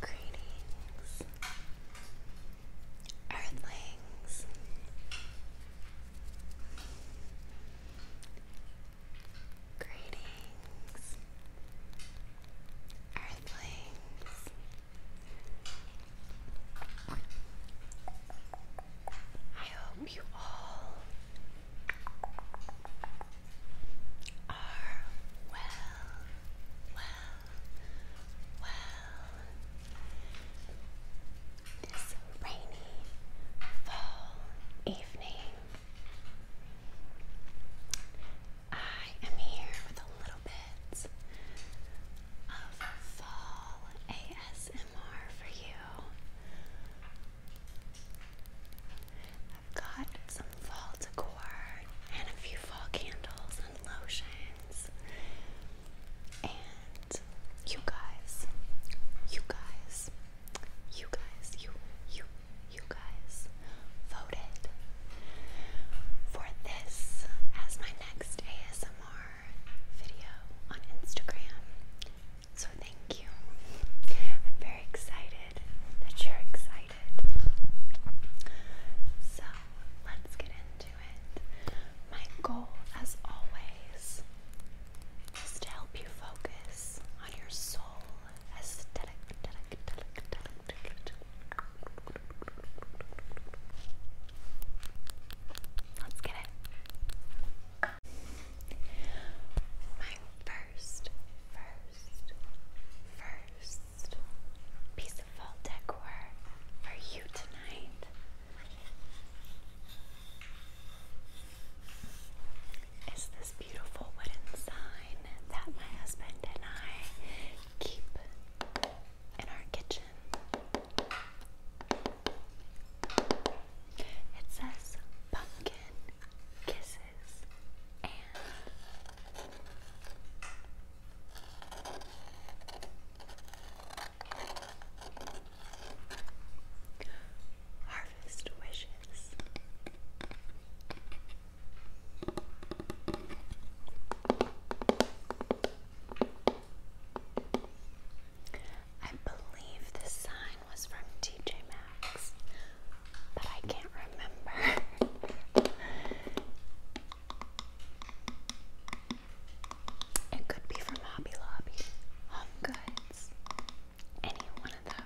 Greetings, Earthlings. Greetings, Earthlings. I hope you all are well, well, well. This rainy fall evening, I am here with a little bit of fall ASMR for you. I've got some fall decor and a few fall candles and lotions. And you guys, you guys, you guys, you, you, you guys voted for this as my next ASMR video on Instagram. So thank you. I'm very excited that you're excited. So let's get into it. My goal, as always, is to help you focus on your soul let Let's get it. My first, first, first piece of fall decor for you tonight is this beautiful wooden sign that my husband and I keep in our kitchen. It says pumpkin kisses and harvest wishes. I believe this sign was from TJ Maxx, but I can't remember. it could be from Hobby Lobby, Home Goods, any one of those.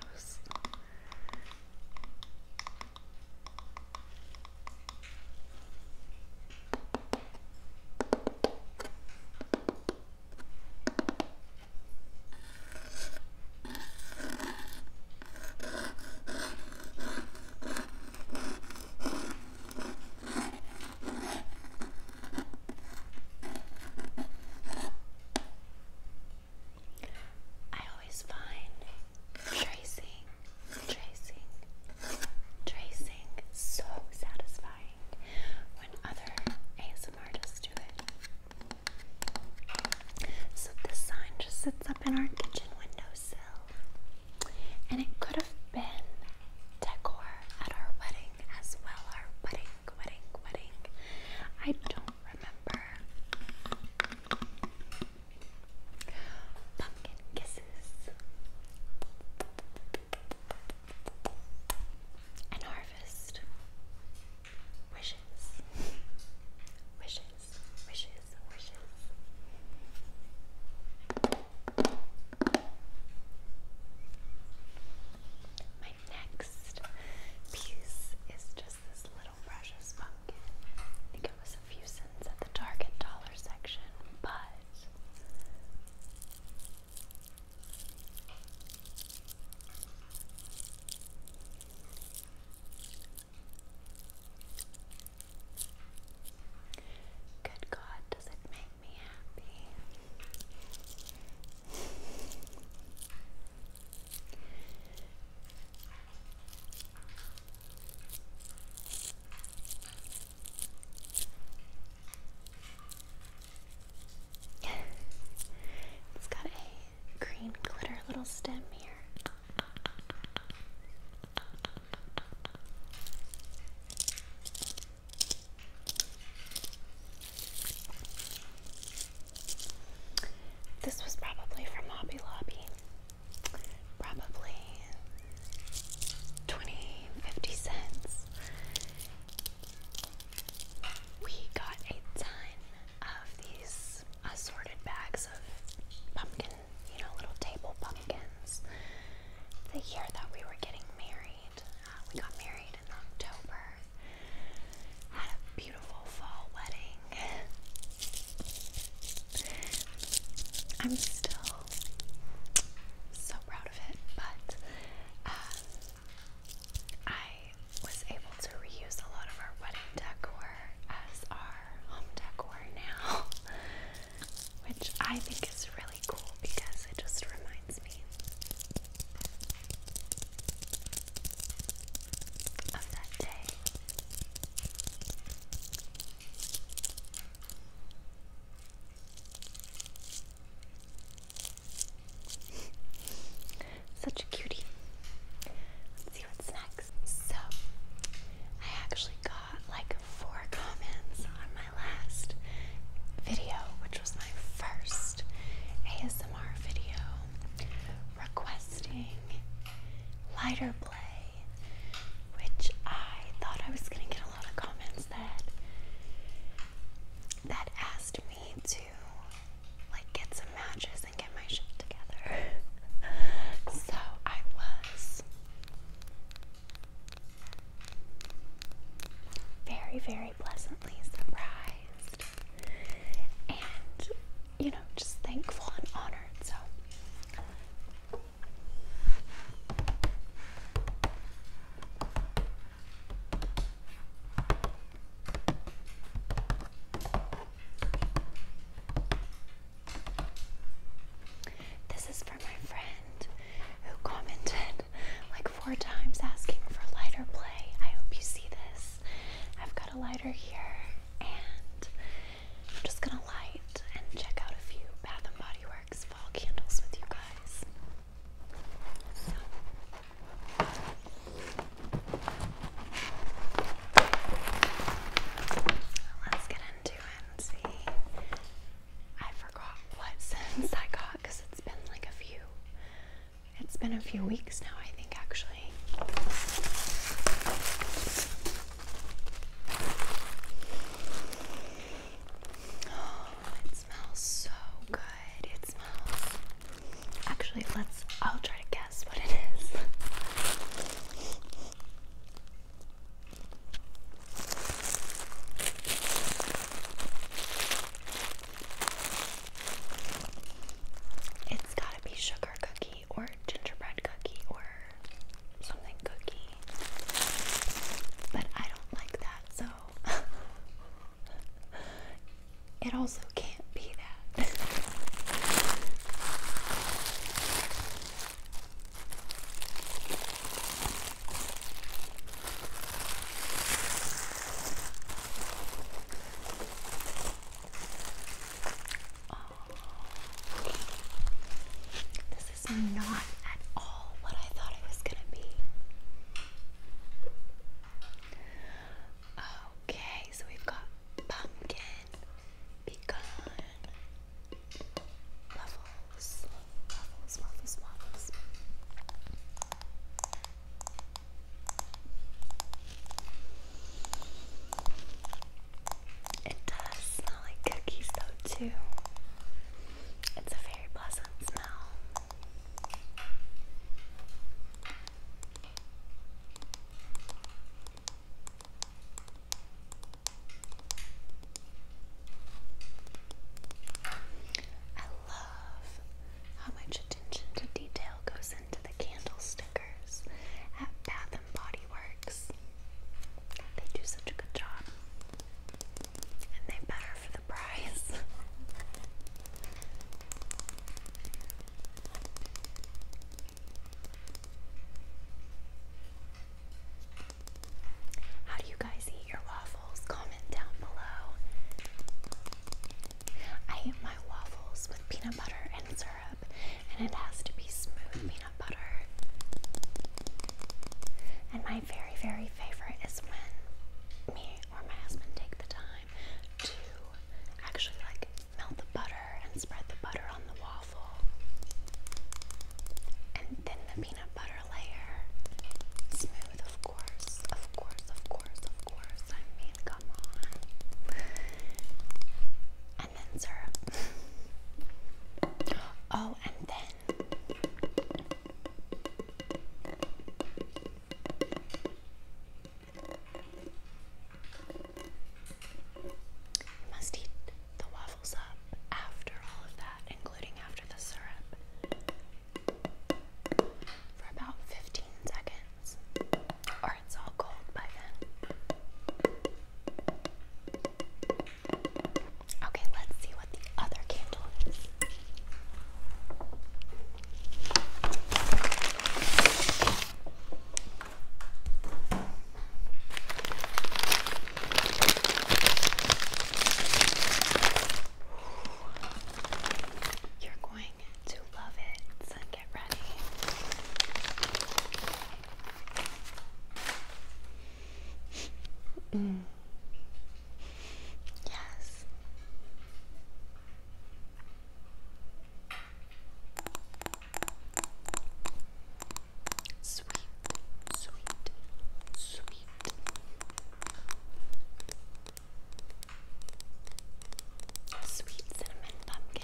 I always find tracing, tracing, tracing so satisfying when other ASMR artists do it. So this sign just sits up in our kitchen windowsill. And it could have been decor at our wedding as well. Our wedding, wedding, wedding. I don't remember. Pumpkin kisses. And harvest. Wishes. Wishes. Wishes. Wishes. My next piece is just this little precious pumpkin. I think it was a few cents at the Target dollar section, but Good God, does it make me happy? it's got a green glitter little stem here. This was probably from Hobby Lobby. Probably 20, cents. We got a ton of these assorted bags of pumpkin, you know, little table pumpkins. The year that we were getting married, uh, we got married in October. Had a beautiful fall wedding. I'm still so proud of it, but uh, I was able to reuse a lot of our wedding decor as our home decor now, which I think is really cool because it just reminds me of that day. Such a cutie. Let's see what's next. So, I actually got like four comments on my last video, which was my first ASMR video, requesting lighter play, which I thought I was gonna get a lot of comments that that asked me to like get some matches and get my shit together. so I was very, very pleasantly surprised and, you know, just thankful and honored. So, this is for my friend who commented like four times asking for lighter play. I hope you see this. I've got a lighter here and I'm just gonna light and check out a few Bath and Body Works fall candles with you guys. Let's get into it see. I forgot what sense I got because it's been like a few. It's been a few weeks now, I think, actually. Oh, it smells so good. It smells Actually, let's. I'll try to guess what it is. It's gotta be sugar cookie or gingerbread cookie or something cookie. But I don't like that, so it also can't be that. Oh. This is not at all what I thought it was going to be. Okay, so we've got pumpkin, pecan, waffles, waffles, waffles, waffles. It does smell like cookies though too. It's a very pleasant smell. I love how much attention to detail goes into the candle stickers at Bath and Body Works. They do such a good job. And they better for the price. How do you guys eat your waffles? Comment down below. I eat my waffles with peanut butter and syrup, and it has to be smooth peanut butter. And my very, very favorite is when me or my husband take the time to actually like melt the butter and spread the butter on the waffle and then the peanut butter layer. Smooth, of course, of course, of course, of course. I mean, come on. And then syrup. Oh, and then you must eat the waffles up after all of that, including after the syrup, for about 15 seconds, or it's all cold by then. Okay, let's see what the other candle is. You're going to love it, so get ready. Mm. Yes. Sweet, sweet, sweet. Sweet cinnamon pumpkin.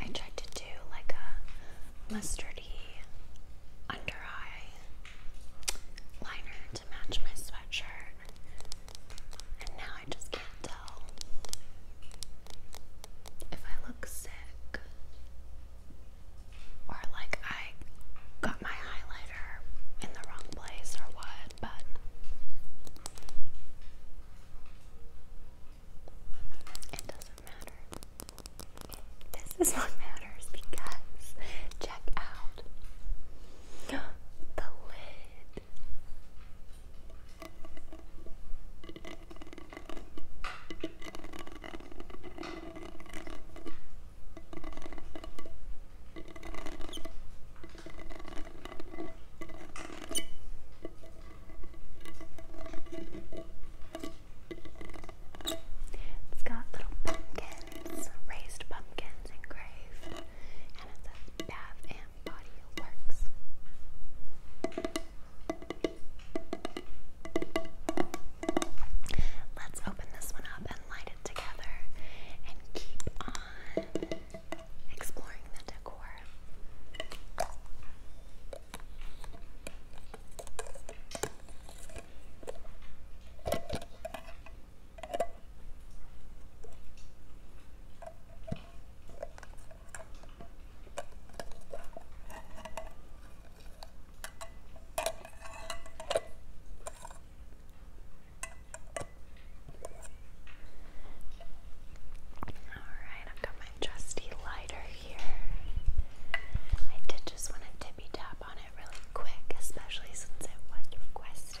I tried to do like a mustard under eye liner to match my sweatshirt, and now I just can't tell if I look sick or like I got my highlighter in the wrong place or what, but. It doesn't matter. This is what matters because check out the lid. It's got little pumpkins, raised pumpkins engraved, and it says Bath and Body Works. Let's open this one up and light it together and keep on exploring the decor. All right, I've got my trusty lighter here. I did just want to let me tap on it really quick, especially since it was requested.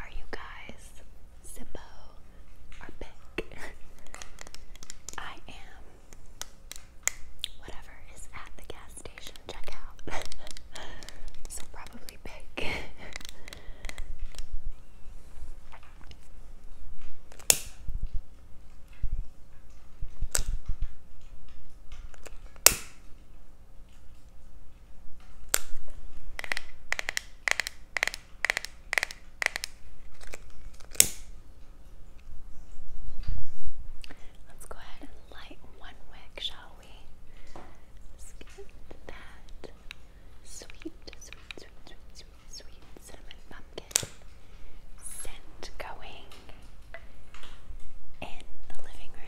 Are you guys Zippo or Beck? I am whatever is at the gas station checkout. so probably Beck. Let's go ahead and light one wick, shall we? let that sweet, sweet, sweet, sweet, sweet cinnamon pumpkin scent going in the living room.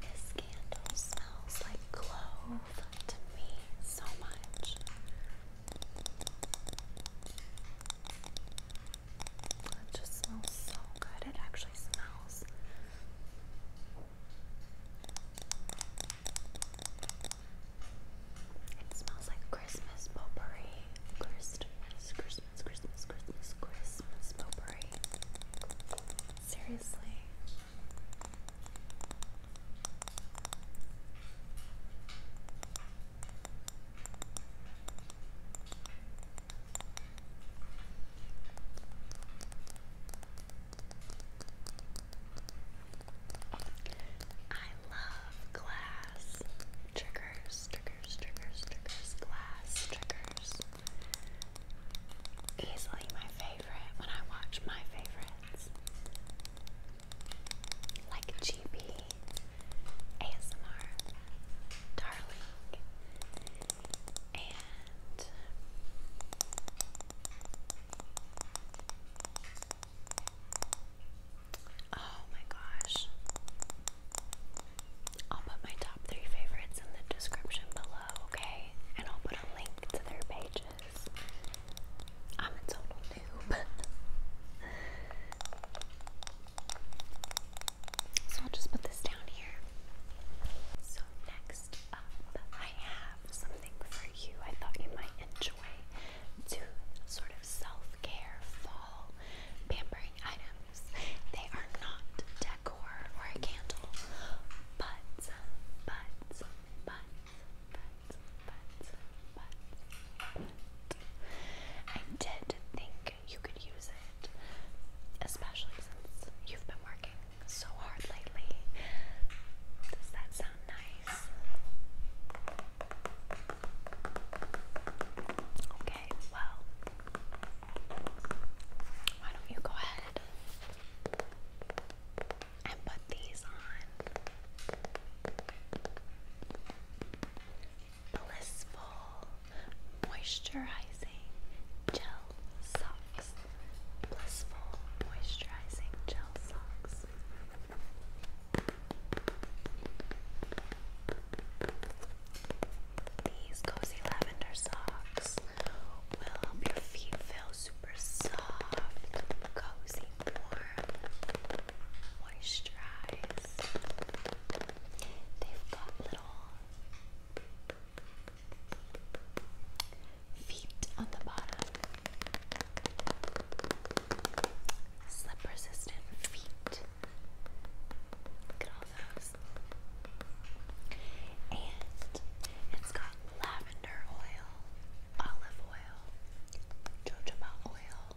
This candle smells like clove to me so much. It just smells so good. It actually smells. It smells like Christmas potpourri. Christmas, Christmas, Christmas, Christmas, Christmas potpourri. Seriously. I love glass triggers, triggers, triggers, triggers, glass triggers. Easily my favorite when I watch my favorites. Like GB ASMR Darling and Oh my gosh. I'll put my top three favorites in the description below, okay? And I'll put a link to their pages. I'm a total so I'll just put this down here. So next up, I have something for you. I thought you might enjoy two sort of self-care fall pampering items. They are not decor or a candle, but, but, but, but but, I did think you could use it, especially since you've been working so hard lately. Does that sound nice? Okay, well, why don't you go ahead and put these on? Blissful Moisturizing Gel Socks. Blissful Moisturizing Gel Socks. These cozy lavender socks will help your feet feel super soft, cozy, warm moisturize. They've got little feet on the bottom, slip resistant feet. Look at all those. And it's got lavender oil, olive oil, jojoba oil,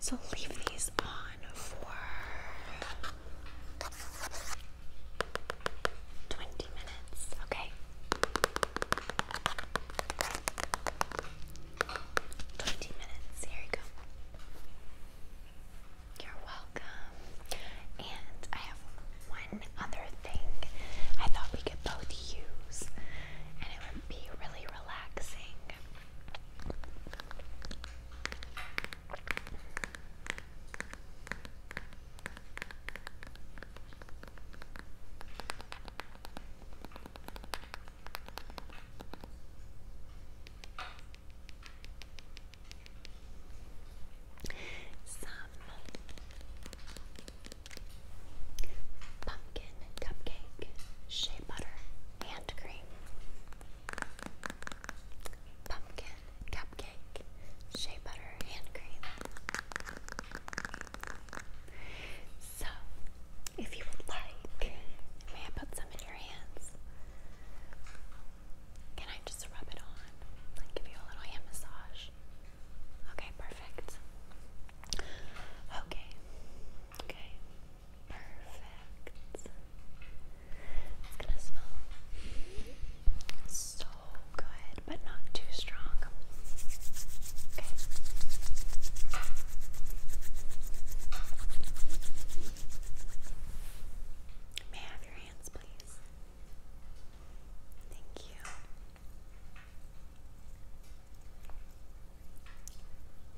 So leave these on for 20 minutes, okay? 20 minutes, here you go. You're welcome. And I have one other thing I thought we could both use, and it would be really relaxing. Some pumpkin cupcake shea butter hand cream, pumpkin cupcake, shea butter hand cream. So, if you would like, may I put some in your hands? Can I just rub it on? give you a little hand massage? Okay, perfect. Okay. Okay. Perfect. It's gonna smell so good, but not too strong. Okay. May I have your hands, please? Thank you.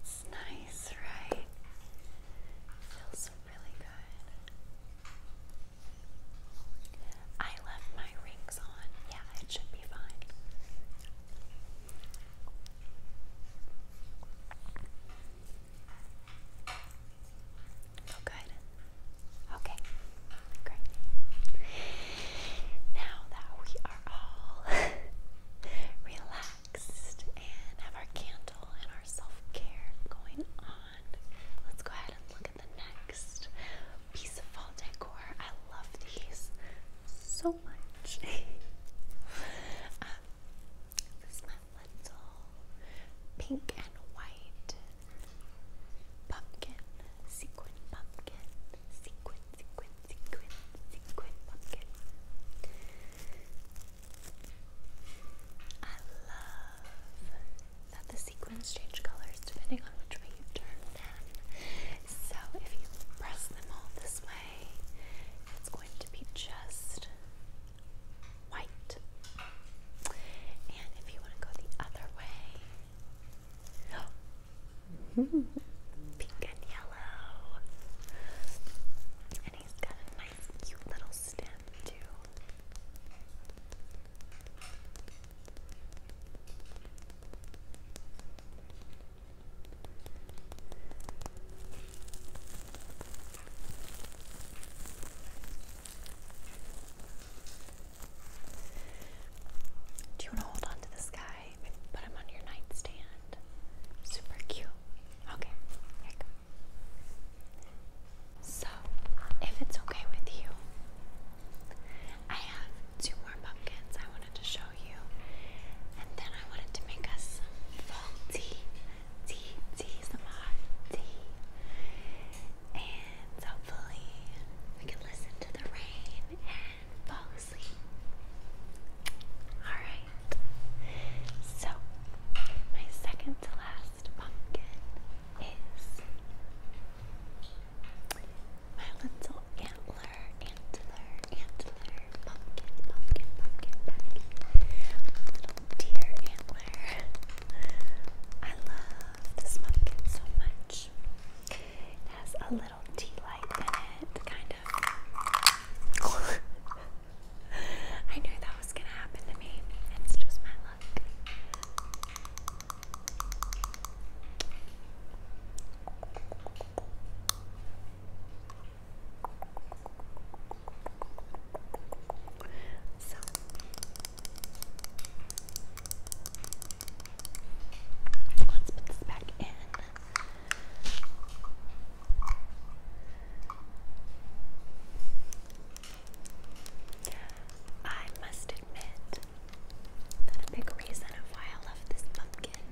It's nice, right? feels really good. I left my rings on. Yeah, it should be fine. Oh, good. Okay, great. Now that we are all relaxed and have our candle and our self care going on. Let's go ahead and look at the next piece of fall decor. I love these so much. Uh, this is my little pink and white pumpkin, sequin pumpkin, I love that the sequins change colors depending on which way you turn them. So if you press them all this way, it's going to be just white. And if you want to go the other way, Pink and yellow. And he's got a nice, cute little stem, too. Do you want to hold on to this guy? put him on your nightstand. Super cute. Okay, here you go. So, if it's okay with you, I have two more pumpkins I wanted to show you. And then I wanted to make us fall tea. Tea, tea, some hot And hopefully we can listen to the rain fall asleep. Alright, so my second to last pumpkin is my little antler, antler, antler, pumpkin, pumpkin, pumpkin, pumpkin, little deer antler. I love this pumpkin so much. It has a little tea light in it, kind of. I knew that was gonna happen to me. It's just my luck. So let's put this back in. I must admit that a big reason of why I love this pumpkin,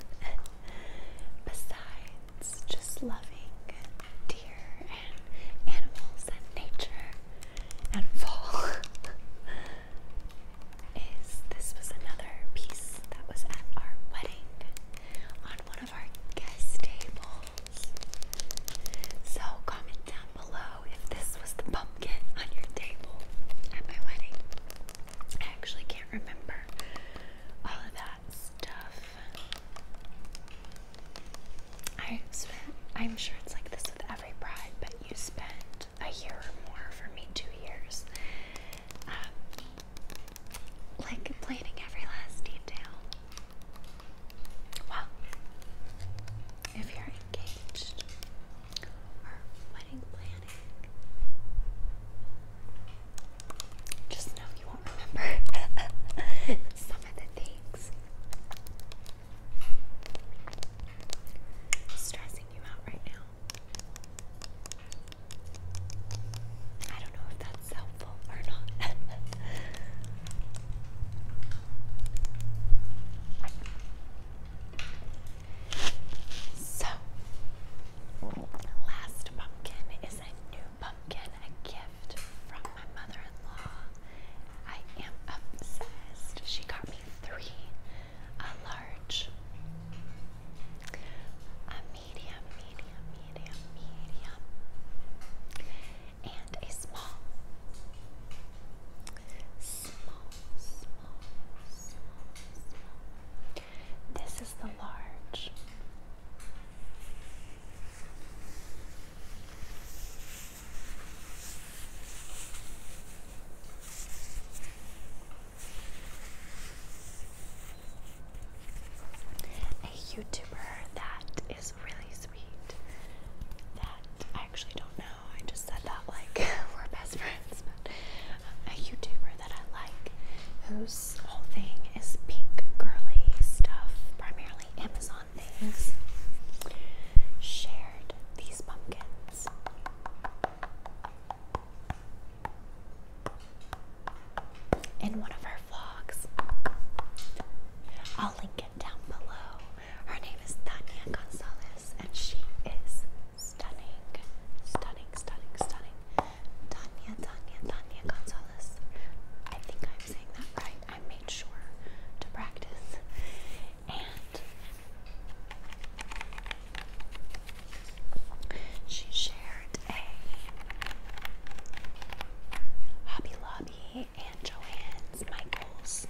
besides just loving deer and animals and nature and fall, is this was another piece that was at our wedding on one of our guest tables. So comment down below if this was the pumpkin on your table at my wedding. I actually can't remember all of that stuff. I spent, I'm sure it's like this with every bride, but you spend a year or more, for me two years, um, like planning every last detail. Well, if you're engaged or wedding planning, just know you won't remember some of the things stressing you out right now. I don't know if that's helpful or not. so, last pumpkin is a new pumpkin, a gift from my mother-in-law. I am obsessed. She got me three, a large, medium, medium, medium, medium, and a small. Small, small, small, small. This is the large a YouTuber that is really sweet. That I actually don't know. I just said that like we're best friends, but um, a YouTuber that I like, whose whole thing is pink girly stuff, primarily Amazon things. Shared these pumpkins in one of her vlogs. I'll link it down below. Her name is Tanya Gonzalez, and she is stunning, stunning, stunning, stunning. Tanya, Tanya, Tanya Gonzalez. I think I'm saying that right. I made sure to practice. She shared a Hobby Lobby and Joanne's Michaels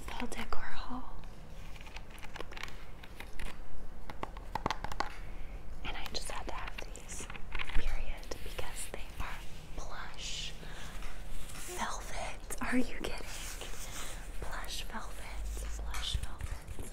fall decor haul. And I just had to have these, period, because they are plush velvet. Are you kidding? Plush velvet, plush velvet.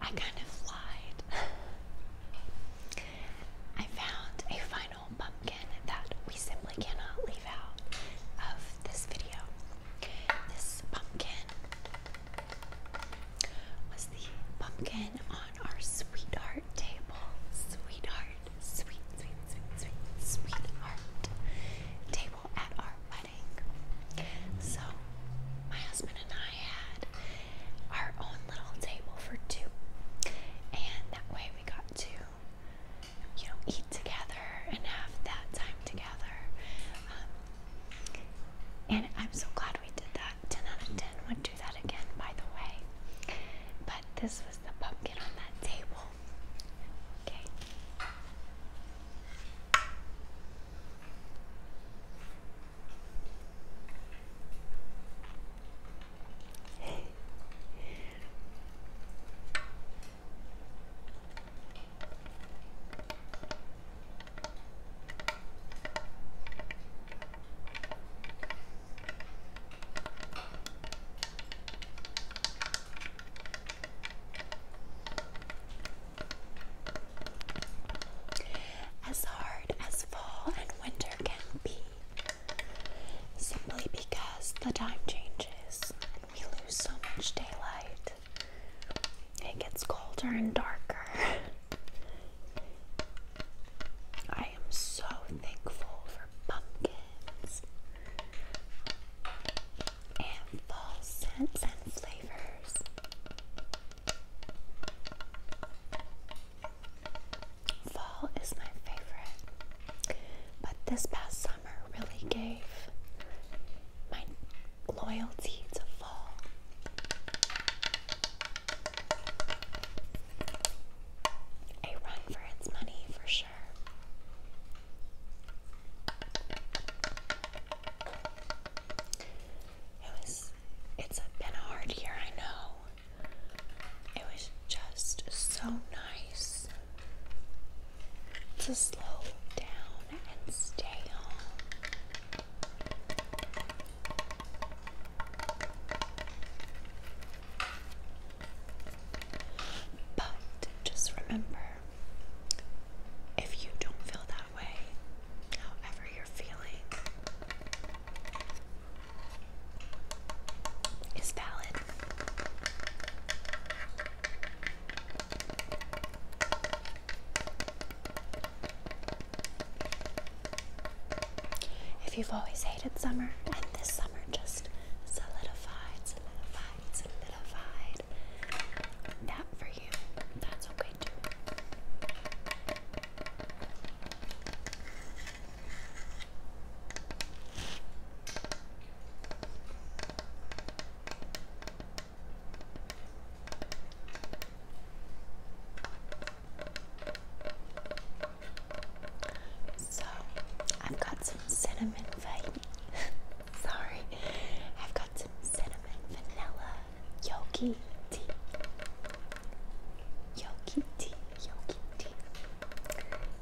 I kind of lied. I found a final pumpkin that we simply cannot leave out of this video. This pumpkin was the pumpkin on our sweetheart table. Sweetheart, sweet, sweet, sweet, sweet, sweetheart table at our wedding. So, my husband and I had our own little table for two, and that way we got to, you know, eat together and have that time together. Um, and I'm so glad we did that. 10 out of 10 would do that again, by the way. But this was the pumpkin on that table. Okay. As hard as fall and winter can be, simply because the time changes and we lose so much daylight. It gets colder and darker. I am so thankful for pumpkins and fall scents and flavors. Fall is my favorite, but this past summer really gave my loyalty to fall. A run for its money for sure. It was, it's been a hard year, I know. It was just so nice to slow down and stay home but just remember if you don't feel that way, however, you're feeling is valid. If you've always hated summer and this summer just solidified, solidified, solidified that for you, that's okay too. So, I've got some cinnamon vanilla. Sorry, I've got some cinnamon vanilla yogi tea. Yogi tea, yogi tea.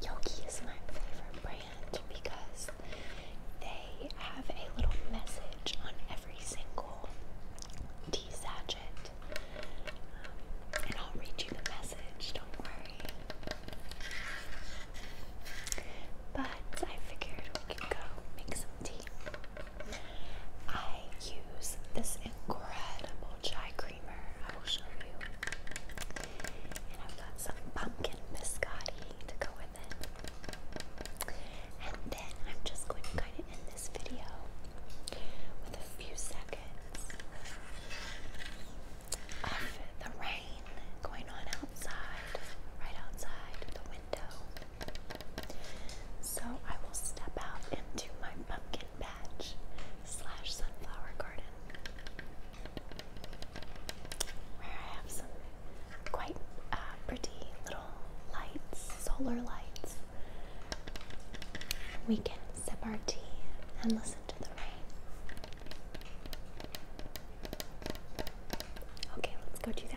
Yogi is my favorite brand because they have a little message on every single local sachet. Um, and I'll read you the message, don't worry. But I figured we could go make some tea. I use this incredible chai creamer, I will show you. And I've got some pumpkin biscotti to go with. And then I'm just going to kind of end this video with a few seconds of the rain going on outside, right outside the window. So I will step out into my pumpkin patch slash sunflower garden where I have some quite uh, pretty little lights, solar lights. We can sip our tea and listen to the rain. Okay, let's go do that.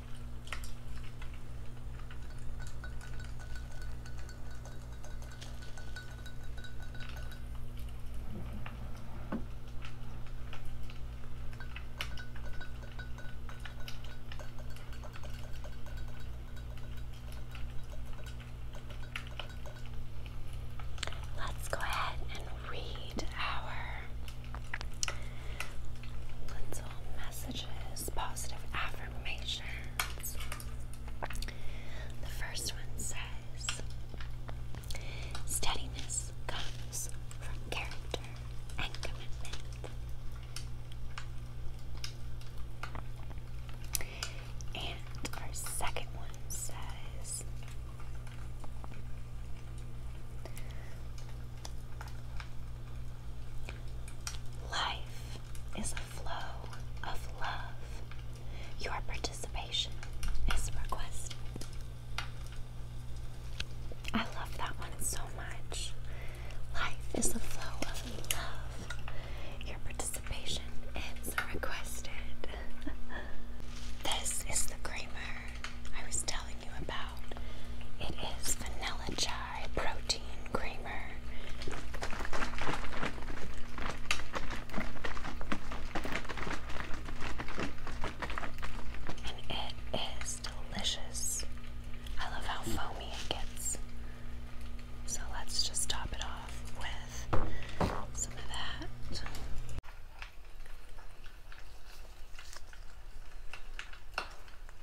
Let's go ahead and read our messages, positive affirmations. The first one says steadiness comes from character and commitment. And our second one says Life is a flow of love. Your participation is requested. I love that one so much. Life is a flow of love. Your participation is requested. this is the creamer I was telling you about. It is vanilla chai protein creamer. And it is delicious. I love how foamy it gets. So let's just top it off with some of that.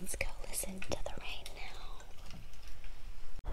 Let's go listen to the rain now.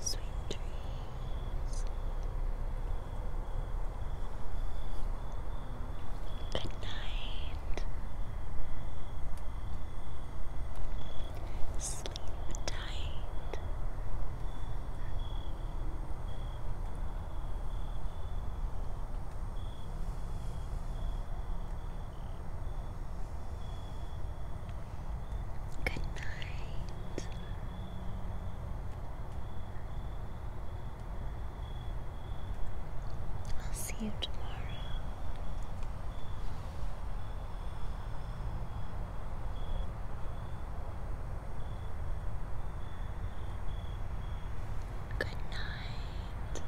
Sweet dreams. Good night. Sleep tight. Good night. I'll see you tomorrow. Good night.